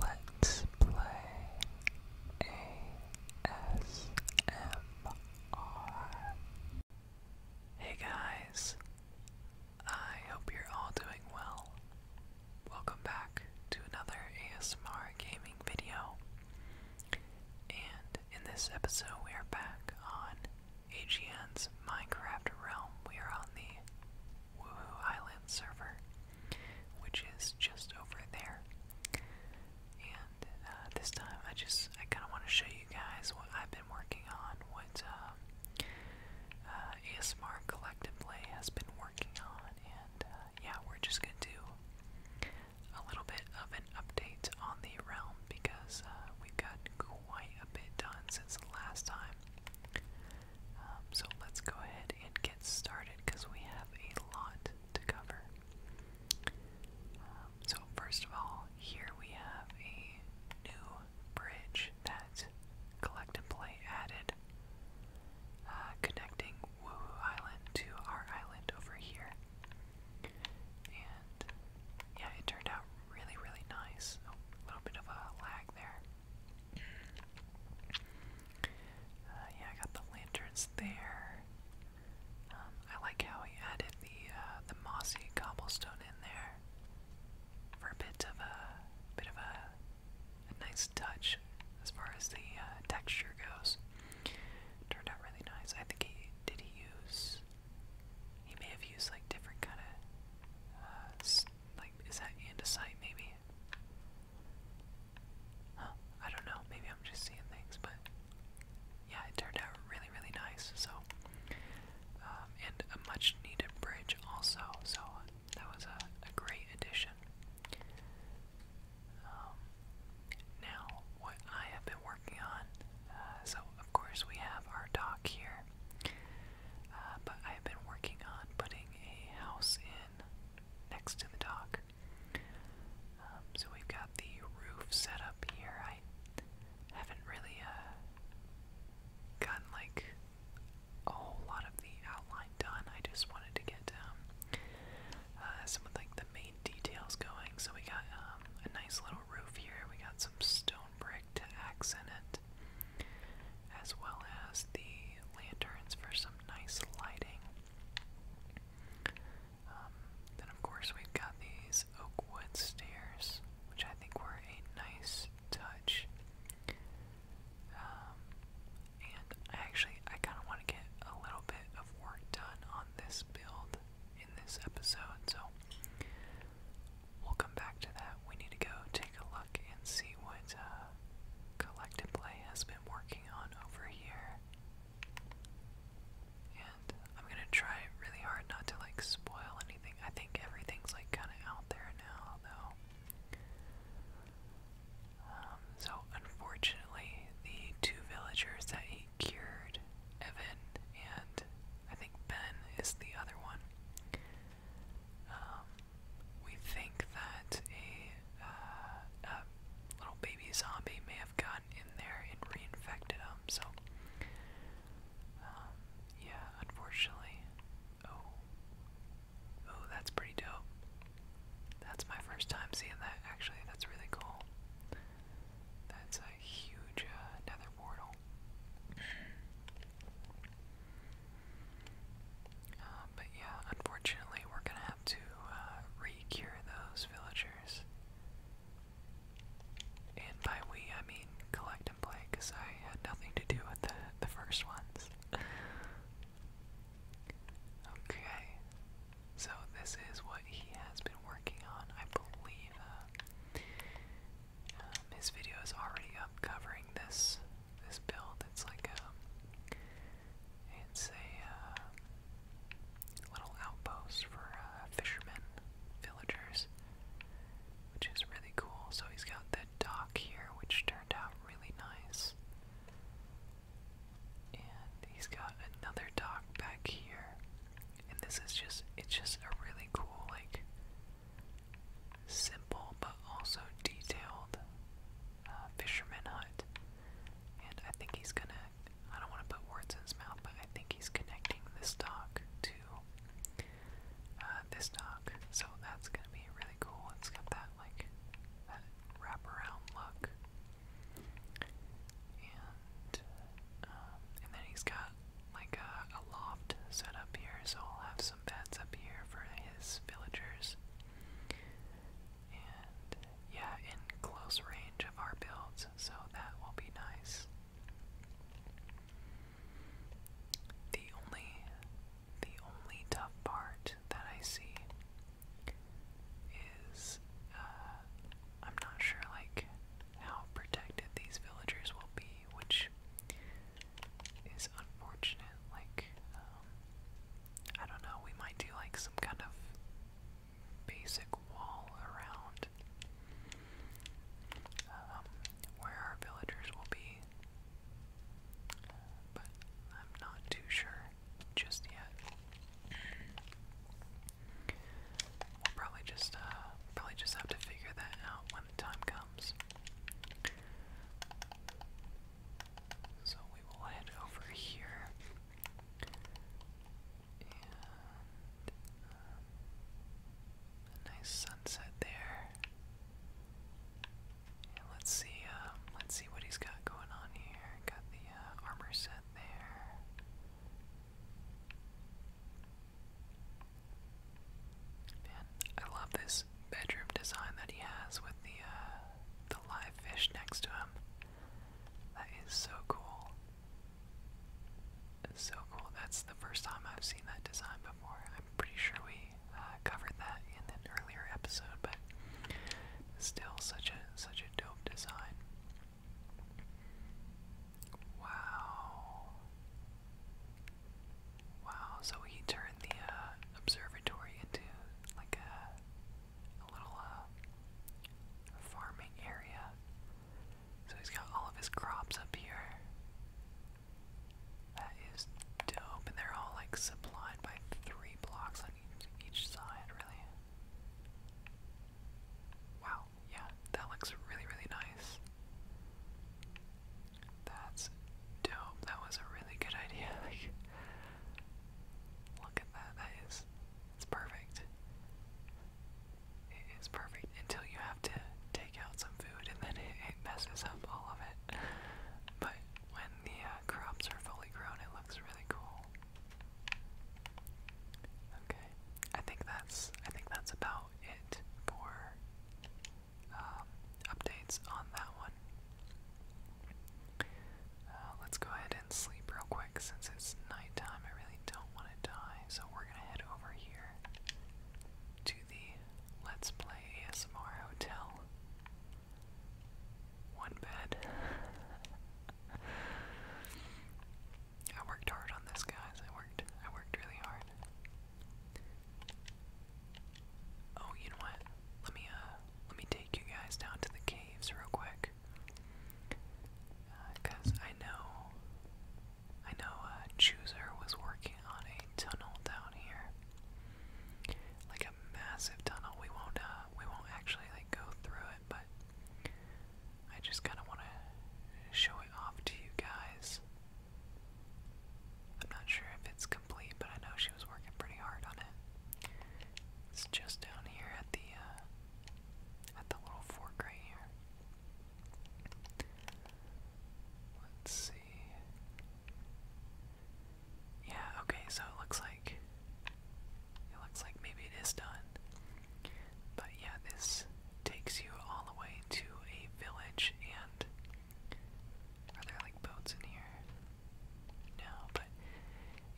Let's play ASMR. Hey guys, I hope you're all doing well. Welcome back to another ASMR gaming video. And in this episode, we are back on AGN's Minecraft Realm. We are on the Woohoo Island server which is just over there. And uh, this time, I just I kind of want to show you guys what I've been working on, what um, uh, uh, ASMR Collective Play has been working on, and uh, yeah, we're just gonna do a little bit of an update on the realm because uh, we've got quite a bit done since the last time. Um, so let's go ahead and get started because we have a lot to cover. Um, so, first of all, here we have a new bridge that Collect and Play added, uh, connecting Woohoo Island to our island over here. And yeah, it turned out really, really nice. Oh, a little bit of a lag there. Uh, yeah, I got the lanterns there. Um, I like how he added the uh, the mossy cobblestone in there for a bit of a bit of a, nice touch as far as the uh, texture goes. Turned out really nice. I think he did he use he may have used like different kind of like is that andesite maybe Huh, I don't know, maybe I'm just seeing things, but yeah, it turned out really, really nice, so, um, and a much needed bridge also, so that was a, a great addition. Um, now, what I have been working on, uh, so of course we have our dock here, uh, but I have been working on putting a house in next to the dock. Um, so we've got the roof set up here. I haven't really uh, gotten like a whole lot of the outline done. I just wanted to get um, uh, some of like the main details going. So we got um, a nice little roof here. We got some stone brick to accent it as well as the lanterns for some nice lighting. Um, then, of course, we got these oak wood stairs, which I think were a nice touch. Um, and actually, I kind of want to get a little bit of work done on this build in this episode, so we'll come back to that. We need to go to take a look and see what uh, Collective Play has been working on over here. And I'm gonna try really hard not to like spoil anything. I think everything's like kind of out there now, though. Um, so unfortunately, the two villagers that he cured, Evan and I think Ben, is the other one. Um, we think that uh, a, little baby zombie may have gotten in there and reinfected him. So, um, yeah, unfortunately. Oh, oh, that's pretty dope. That's my first time seeing that. Actually, that's really cool. That's a huge uh, nether portal. Um, but yeah, unfortunately, we're gonna have to uh, those villagers. And by we, I mean collect and play, because I had nothing to do with the, the first ones. okay, so this is what he has been working on, I believe. Uh, um, his video is already up covering this this build. It's like a, it's a uh, little outpost for uh, fishermen, villagers, which is really cool. So he's got the dock here, which turned out really nice. And he's got another dock back here. And this is just, it's just a really cool, like, simple but also detailed uh, fisherman hut. And I think he's gonna, I don't want to put words in his mouth, but I think he's connecting this dock to uh, this dock. So that's gonna be really cool. It's got that, like, wraparound look. And, um, and then he's got, like, a, a loft set up here, so I'll have some beds up here for his villagers. And yeah, in close range of our builds, so that will be nice. The only the only tough part that I see is uh, I'm not sure like how protected these villagers will be, which is unfortunate. Like, um, I don't know, we might do like some kind of basic wall around um, where our villagers will be. but I'm not too sure just yet. We'll probably just uh, probably just have to figure that out when the time comes. So we will head over here and um, nice sunset there. And let's see, um, let's see what he's got going on here. Got the uh, armor set there. I love this bedroom design that he has with the uh, the live fish next to him. That is so cool. so cool. That's the first time I've seen that design before. I'm pretty sure we uh, covered that in an earlier episode, but still such a such a dope design. Wow. Wow, so he turned the uh, observatory into like a, little uh, farming area. So he's got all of his crops up here. That is dope, and they're all like supplied by three blocks on each, each side, really. Wow, yeah, that looks really, really nice. That's dope. That was a really good idea. Like, look at that. That is, it's perfect. It is perfect until you have to take out some food, and then it, messes up all of it. But when the uh, crops are fully grown, it looks really cool. Okay, I think that's I think that's about it for um, updates on that one. Uh, let's go ahead and sleep real quick since it's nighttime. I really don't want to die, so we're gonna head over here to the Let's Play ASMR Hotel. One bed. I worked hard on this, guys. I worked. I worked really hard. Oh, you know what? Let me uh let me take you guys down to the caves real quick. Uh, Cause I know I know uh Chooser was working on a tunnel down here. Like a massive tunnel. We won't uh we won't actually like go through it, but I just kinda wanna show it off to you guys. I'm not sure if it's but I know she was working pretty hard on it. It's just down here at the uh, at the little fork right here. Let's see. Yeah, okay, so it looks like it looks like maybe it is done. But yeah, this takes you all the way to a village and are there like boats in here? No, but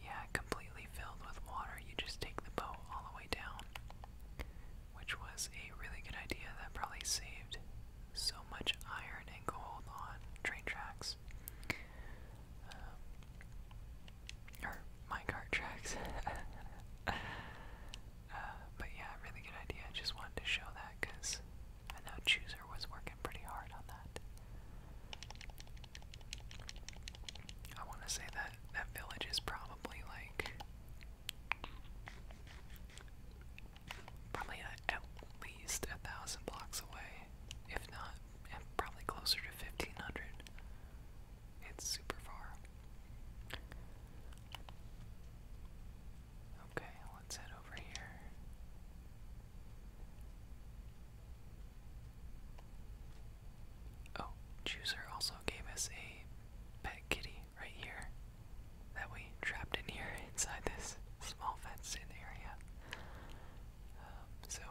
yeah, completely filled with water. You just take the boat all the way down, which was a really good idea that probably saved so much iron and gold on train tracks. Um, or minecart tracks. Uh, but yeah, really good idea. I just wanted to show that because I know Chooser was working pretty hard on that. I want to say that that village is probably like probably at least a thousand blocks away, if not, probably closer to 1500. It's super far. Okay, let's head over here. Oh, Chooser also gave us a pet kitty right here that we trapped in here inside this small fenced in area. Um, so,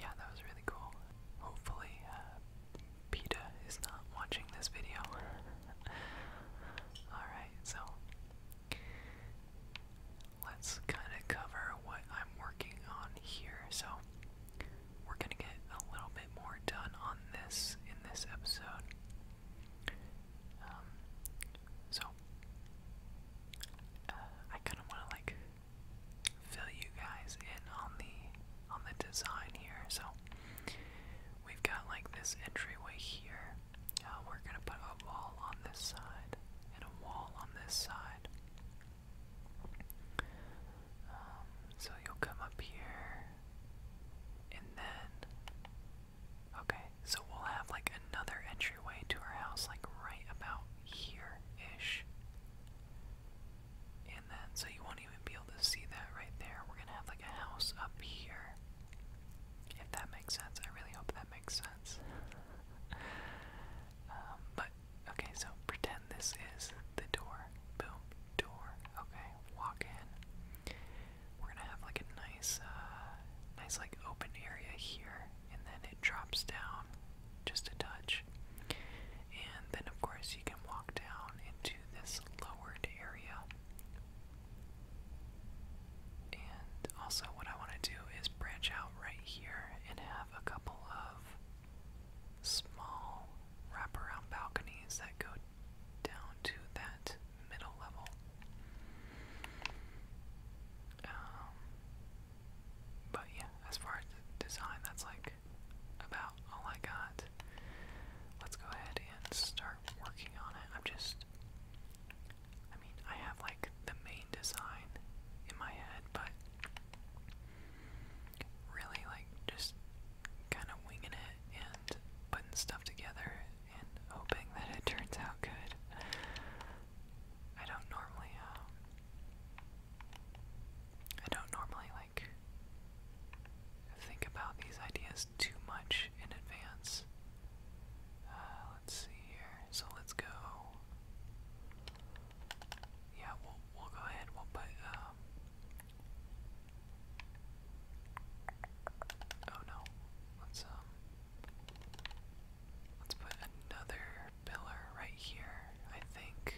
yeah, that was really cool. Hopefully, uh, PETA is not watching this video. Alright, so let's kind of cover what I'm working on here. So, we're going to get a little bit more done on this in this episode. Um, so, uh, I kind of want to like fill you guys in on the on the design here. So, we've got like this entryway here. Uh, we're gonna put a wall on this side and a wall on this side. Um, so you'll come up here, and then. Okay, so we'll have like another entryway to our house, like right about here ish. And then, so you won't even be able to see that right there. We're gonna have like a house up here. If that makes sense, I really hope that that makes sense. Um, but, okay, so pretend this is the door. Boom, door. Okay, walk in. We're gonna have like a nice, uh, nice like open area here, and then it drops down just a touch. And then, of course, you can walk down into this lowered area and also, what I want to do is branch out right here and have a couple of small wraparound balconies that go down to that middle level. Um, but yeah, as far as the design, that's like about all I got. Let's go ahead and start working on it. I'm just I mean, I have like the main design in my head, but really like just kind of winging it and putting stuff together and hoping that it turns out good. I don't normally, um, I don't normally like think about these ideas too much in advance. Uh, let's see here. So let's go. Yeah, we'll we'll go ahead. We'll put. Um, oh no, let's um. Let's put another pillar right here. I think.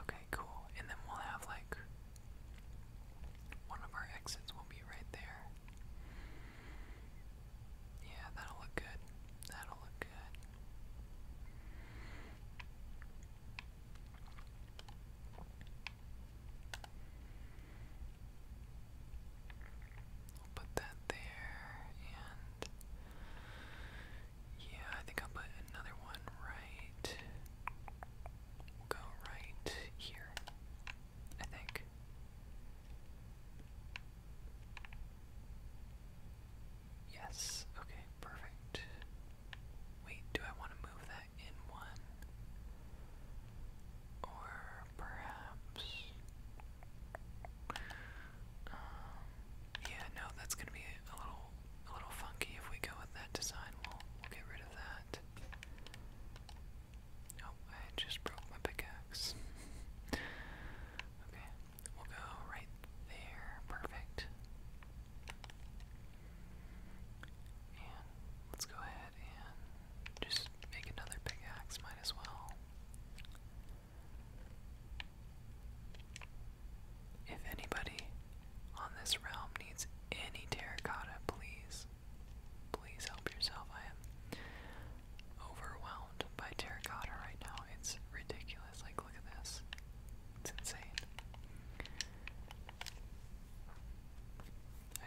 Okay, cool. And then we'll have like one of our exits will be right there. Yeah, that'll look good. That'll look good. I'll put that there, and yeah, I think I'll put another one right. We'll go right here. I think. Yes, okay, perfect. Wait, do I want to move that in one? Or perhaps. Um, yeah, no, that's gonna be a little, a little funky if we go with that design. We'll, we'll get rid of that. Oh, I just broke my pickaxe. okay, we'll go right there. Perfect. And let's go ahead and just make another pickaxe, might as well. If anybody on this realm needs any terracotta, please Please help yourself. I am overwhelmed by terracotta right now. It's ridiculous. Like, look at this. It's insane. I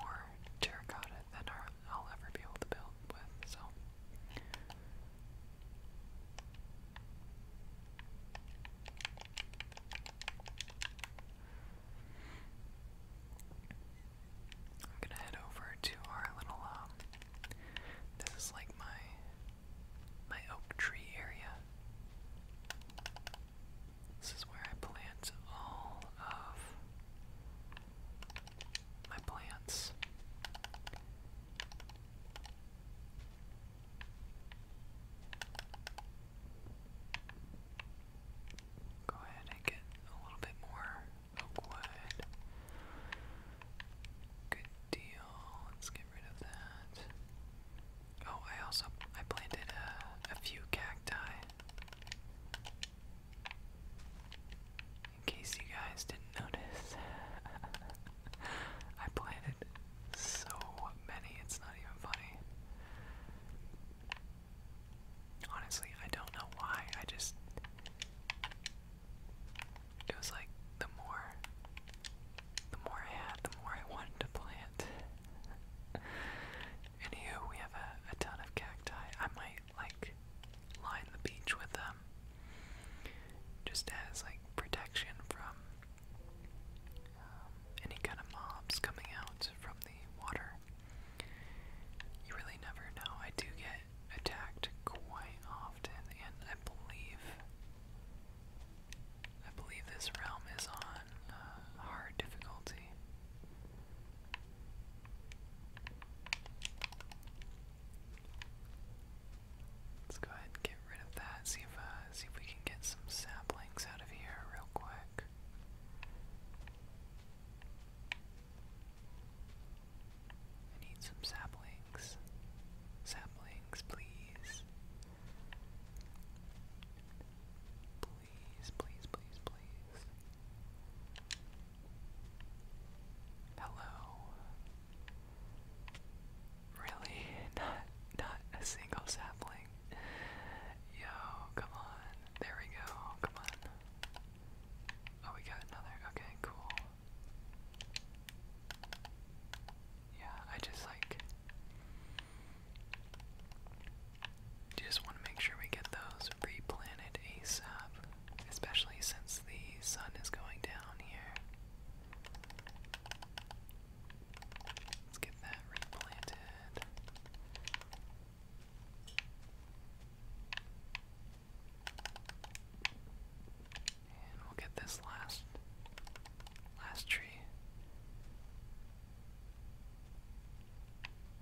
more terracotta than I'll ever be able to build with, so. I'm gonna head over to our little, um, this is like my, my oak tree area. This is where I plant all of my plants. Go ahead and get a little bit more oakwood. Good deal. Let's get rid of that. Oh, I also I planted a, a few cacti. In case you guys didn't notice, I planted so many, it's not even funny. Honestly, I don't know why. I just. It was like the more. The more I had, the more I wanted to plant. it. Anywho, we have a, ton of cacti. I might, like, line the beach with them. Just as, like, protection from um, any kind of mobs coming out from the water. You really never know. I do get attacked quite often, and I believe I believe this realm is on uh, hard difficulty. Let's go ahead and get rid of that. See if uh, see if we can get some saplings out of here real quick. I need some saplings. Saplings, please. Please, please, please, please. Hello. Really? Not not a single sapling. Yo, come on. There we go. Come on. Oh, we got another. Okay, cool. Yeah, I just like. Just want to make sure we get those replanted ASAP, especially since the sun is going down here. Let's get that replanted. And we'll get this last last tree.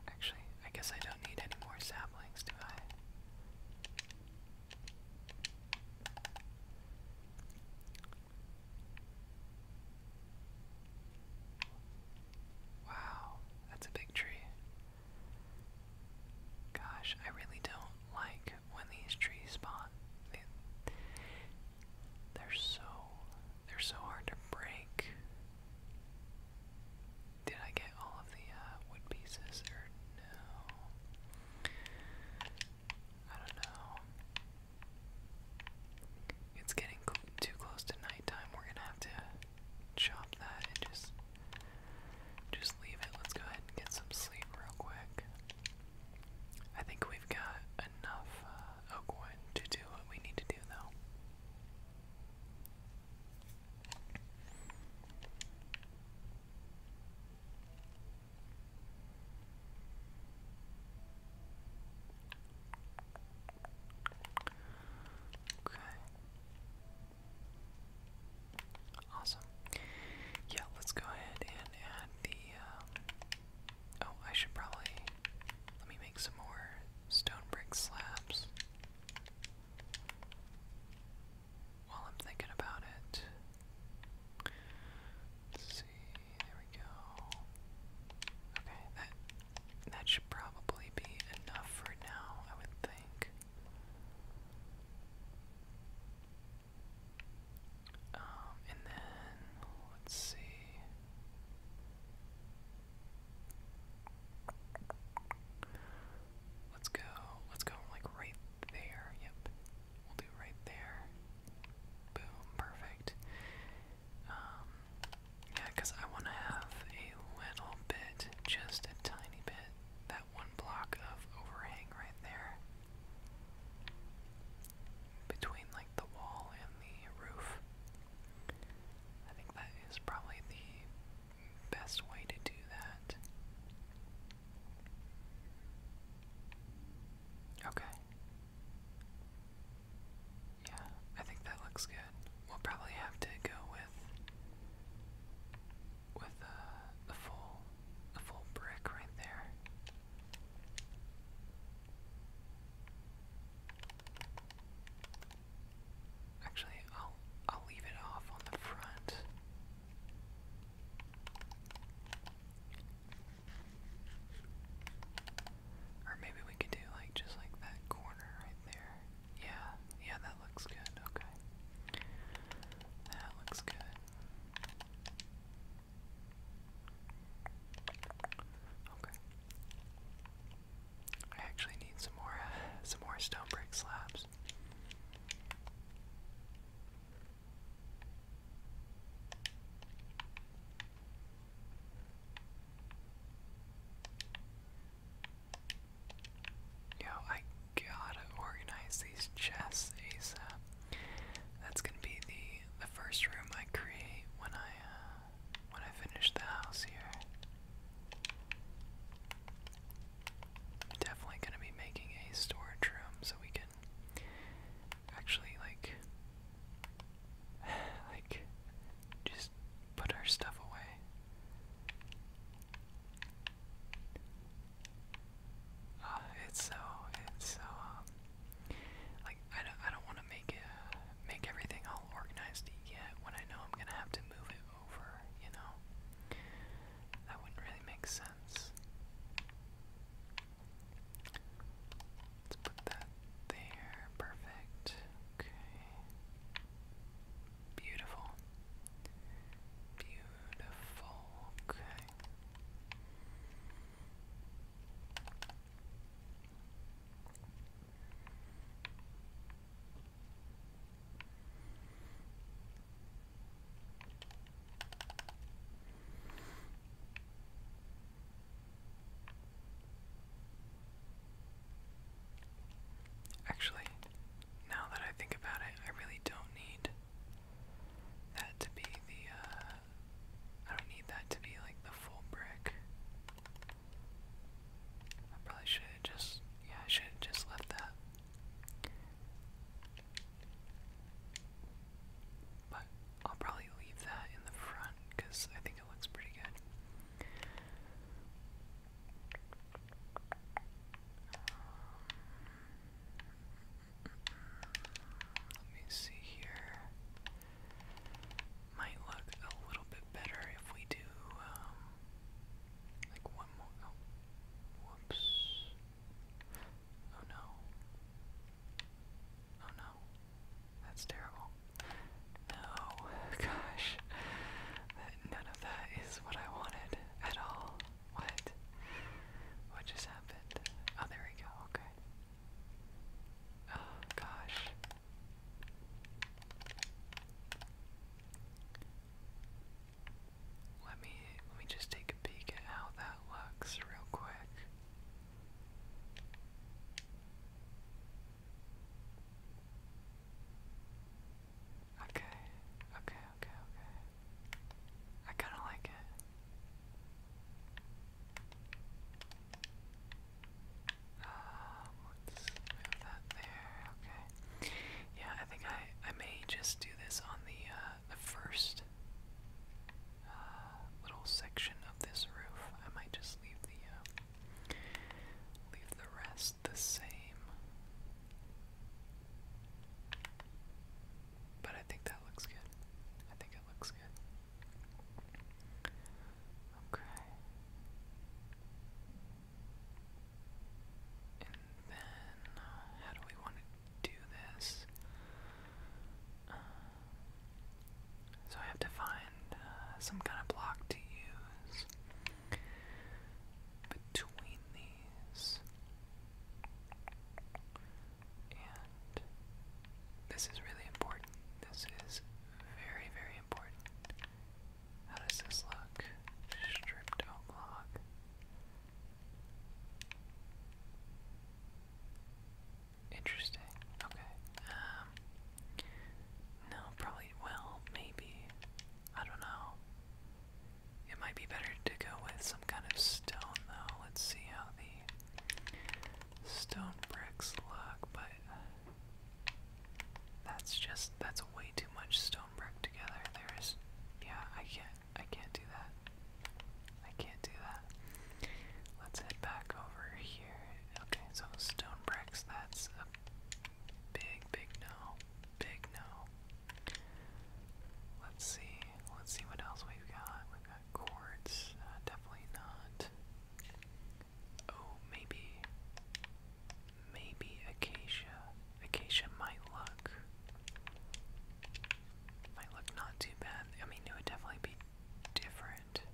Actually, I guess I don't need any more saplings, do I? Wow, that's a big tree. Gosh, I really don't like when these trees spawn. They, are so they're so hard to break. Did I get all of the uh, wood pieces or no? I don't know. It's getting too close to nighttime. We're gonna have to chop that and just just leave it. Let's go ahead and get some sleep real quick. I think we've got enough uh, to do what we need to do, though. Okay. Awesome. Yeah, let's go ahead and add the. Um, oh, I should probably. Let me make some more stone brick slabs. While I'm thinking about it. Let's see, there we go. Okay, that should probably be enough for now, I would think. Um, and then let's see. Let's go. Let's go like right there. Yep. We'll do right there. Boom, perfect. Um, yeah, because I want to have a little bit, just a tiny bit, that one block of overhang right there. Between like the wall and the roof. I think that is probably the best way to do that. Okay. Yeah, I think that looks good. We'll probably have to go with with a uh, full a full brick right there. Actually, I'll I'll leave it off on the front. Or maybe we could do like just like that corner right there. Yeah, yeah, that looks good. Okay. That looks good. Okay. I actually need some more some more stone brick slabs. Yo, I gotta organize these chests ASAP. That's gonna be the the first room I create when I uh, when I finish the house here. definitely gonna be making a storage room so we can actually like like, just put our stuff away. Ah, it's so, it's so, um, like, I don't, I don't want to make make everything all organized yet when I know I'm going to have to move it over, you know? That wouldn't really make sense. Let's put that there. Perfect. Okay. Beautiful. Beautiful. Okay. Actually, now that I think about it, I really don't need that to be the, uh, I don't need that to be like the full brick. I probably should have just, yeah, I should have just left that. But I'll probably leave that in the front because I think it looks pretty good. Let me see here. Might look a little bit better if we do um, like one more. Oh, whoops! Oh no! Oh no! That's terrible. No, gosh. None of that is what I wanted at all. What? What just happened? Oh, there we go, okay. Oh, gosh. Let me let me just take a peek at how that looks real quick. Okay, okay, okay, okay. I kind of like it. Um, move that there. Okay. Yeah, I think I I may just do this on the uh, the first uh, little section of this roof. I might just leave the uh, Leave the rest the same. But I think that looks good. I think it looks good. Okay. And then, how do we want to do this? Uh, so I have to find uh, some kind of block to use between these. And this is really important. This is very, very important. How does this look? Stripped block. Interesting. Okay no, probably, well, maybe. I don't know. It might be better to go with some kind of stone, though. Let's see how the stone bricks look, but that's just, that's way too much stone brick together. There is, yeah, I can't, I can't do that. I can't do that. Let's head back over here. Okay, so stone bricks, that's a Big, big no. Big no. Let's see. Let's see what else we've got. We've got quartz. Uh, definitely not. Oh, maybe. Maybe acacia. Acacia might look. Might look not too bad. I mean, it would definitely be different different.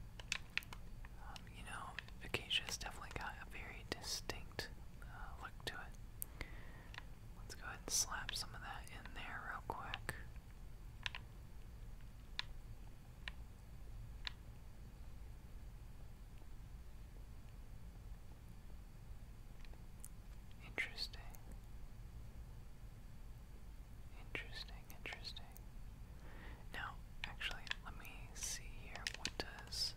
Um, you know, Acacia's definitely got a very distinct uh, look to it. Let's go ahead and slap some of that in there real quick. Interesting. Interesting, interesting. Now, actually, let me see here. What does.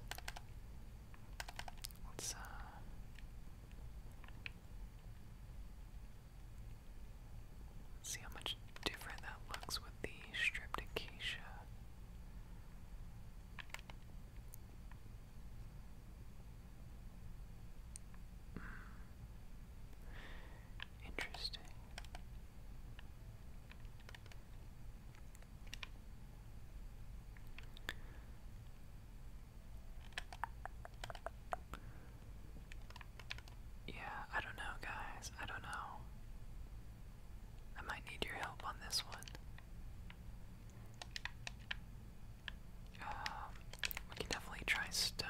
Uh, let's, see how much different that looks with the stripped acacia. Hmm. Interesting. Yeah, I don't know, guys. I don't know. I might need your help on this one. Um, we can definitely try stone.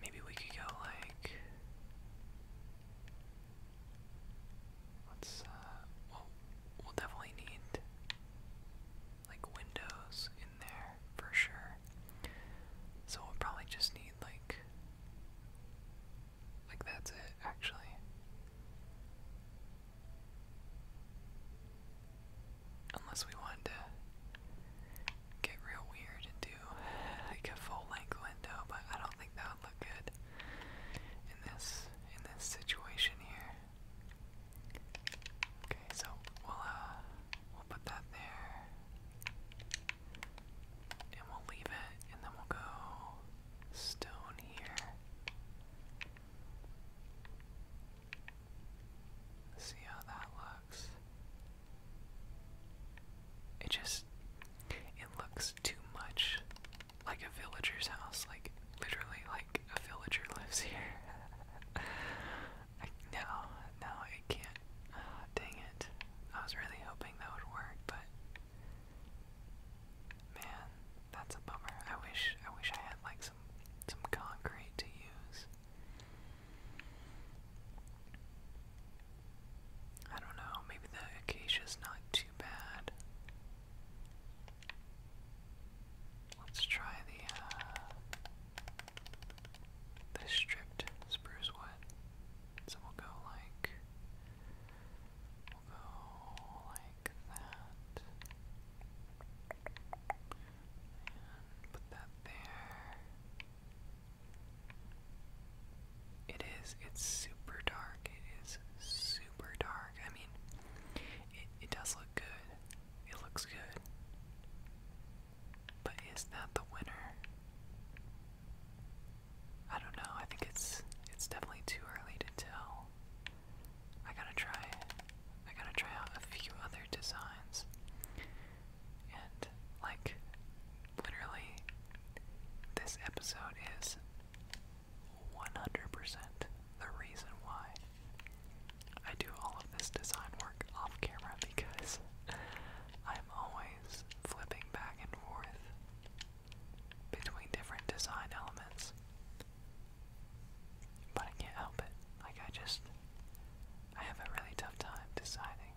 Maybe we could go like let's uh, well we'll definitely need like windows in there for sure. So we'll probably just need like like that's it actually. Unless we wanted to get real weird and do like a full length window, but I don't think that would look good in this in this situation here. Okay, so we'll uh, we'll put that there. And we'll leave it and then we'll go stone here. See how that looks. It just it looks too much like a villager's house, like literally like a villager lives here. I, no, no, it can't. Ah, dang it. I was really hoping that would work, but man, that's a bummer. I wish I wish I had like some some concrete to use. I don't know, maybe the acacia's not too bad. Let's try the uh, the stripped spruce wood. So we'll go like we'll go like that. And put that there. It is. It's super dark. It is super dark. I mean, it, it does look good. It looks good. But is that the winner? I don't know. I think it's it's definitely too early to tell. I gotta try. I gotta try out a few other designs. And, like, literally, this episode is 100% the reason why I do all of this design work off camera because I'm always flipping back and forth between different design elements. But I can't help it. Like, I just. I have a really tough time deciding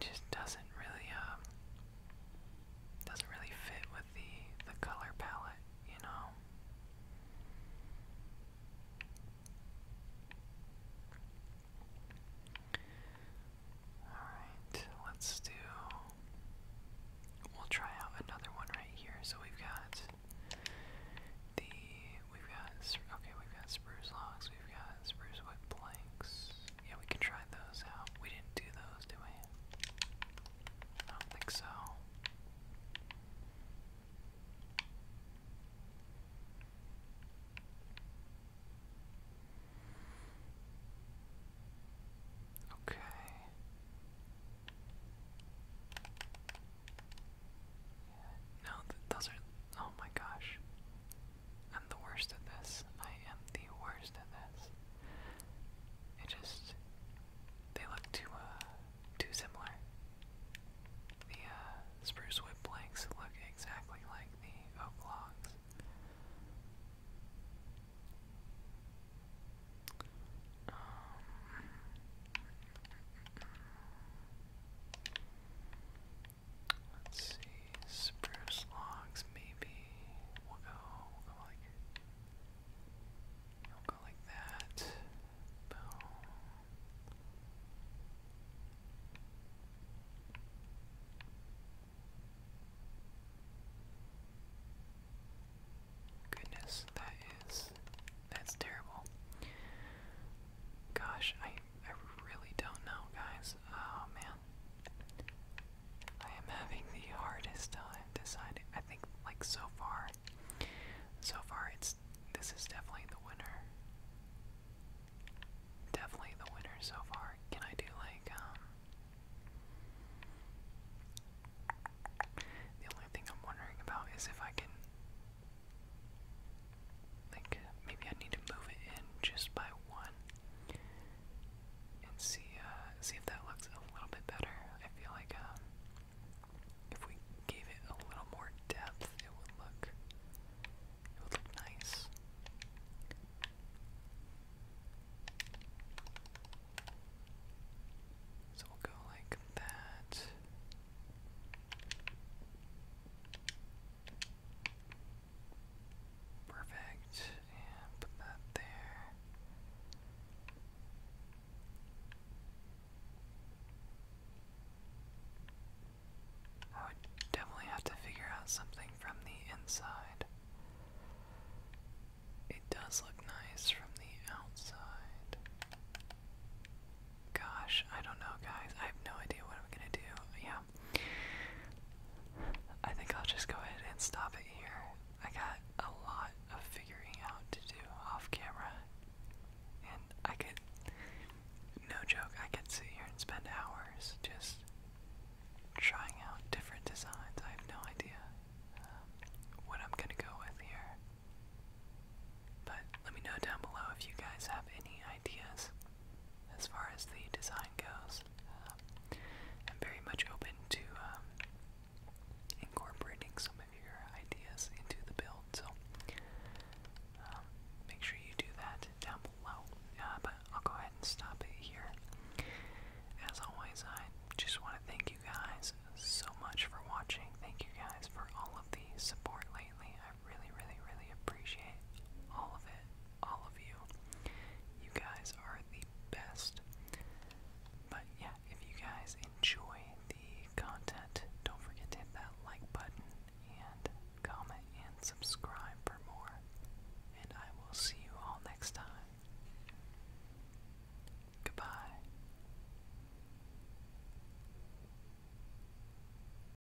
it just doesn't really um doesn't really fit with the the color palette, you know. Alright, let's do. We'll try out another one right here. So we've got the we've got okay, we've got spruce logs, we've got spruce wood planks. Yeah, we can try those out. We didn't do those, did we? I don't think so. Okay. no, those are. Oh my gosh. I'm the worst at this. I am the worst at this. It just they look too uh too similar. The uh, spruce wood planks look exactly like the oak logs. Um, Let's see, spruce logs maybe. We'll go, we'll go like, we'll go like that. Boom. Goodness, that is, that's terrible. Gosh, I I really don't know, guys. Oh man, I am having the hardest time deciding. I think, like so far, so far it's this is definitely the winner. Definitely the winner so far. Can I do like um? The only thing I'm wondering about is if I can like, maybe I need to move it in just by one and see, uh, see if that looks a little bit better. I feel like, um, if we gave it a little more depth, it would look, it would look nice. So we'll go like that. Perfect. put that there. I would definitely have to figure out something from the inside. It does look nice from the outside. Gosh, I don't know, guys. I have no idea what I'm gonna do. Yeah, I think I'll just go ahead and stop it here. I got a lot of figuring out to do off camera, and I could, no joke, I could sit here and spend hours just trying out different designs. I have no idea um, what I'm gonna go with here, but let me know down below if you guys have any ideas as far as the design goes. Uh, I'm very much open to um, incorporating some of your ideas into the build, so um, make sure you do that down below. Uh, but I'll go ahead and stop it here. As always, I just want to thank you guys so much for watching. Thank you guys for all of the support lately really, really, really appreciate all of it, all of you. You guys are the best. But yeah, if you guys enjoy the content, don't forget to hit that like button and comment and subscribe for more. And I will see you all next time. Goodbye.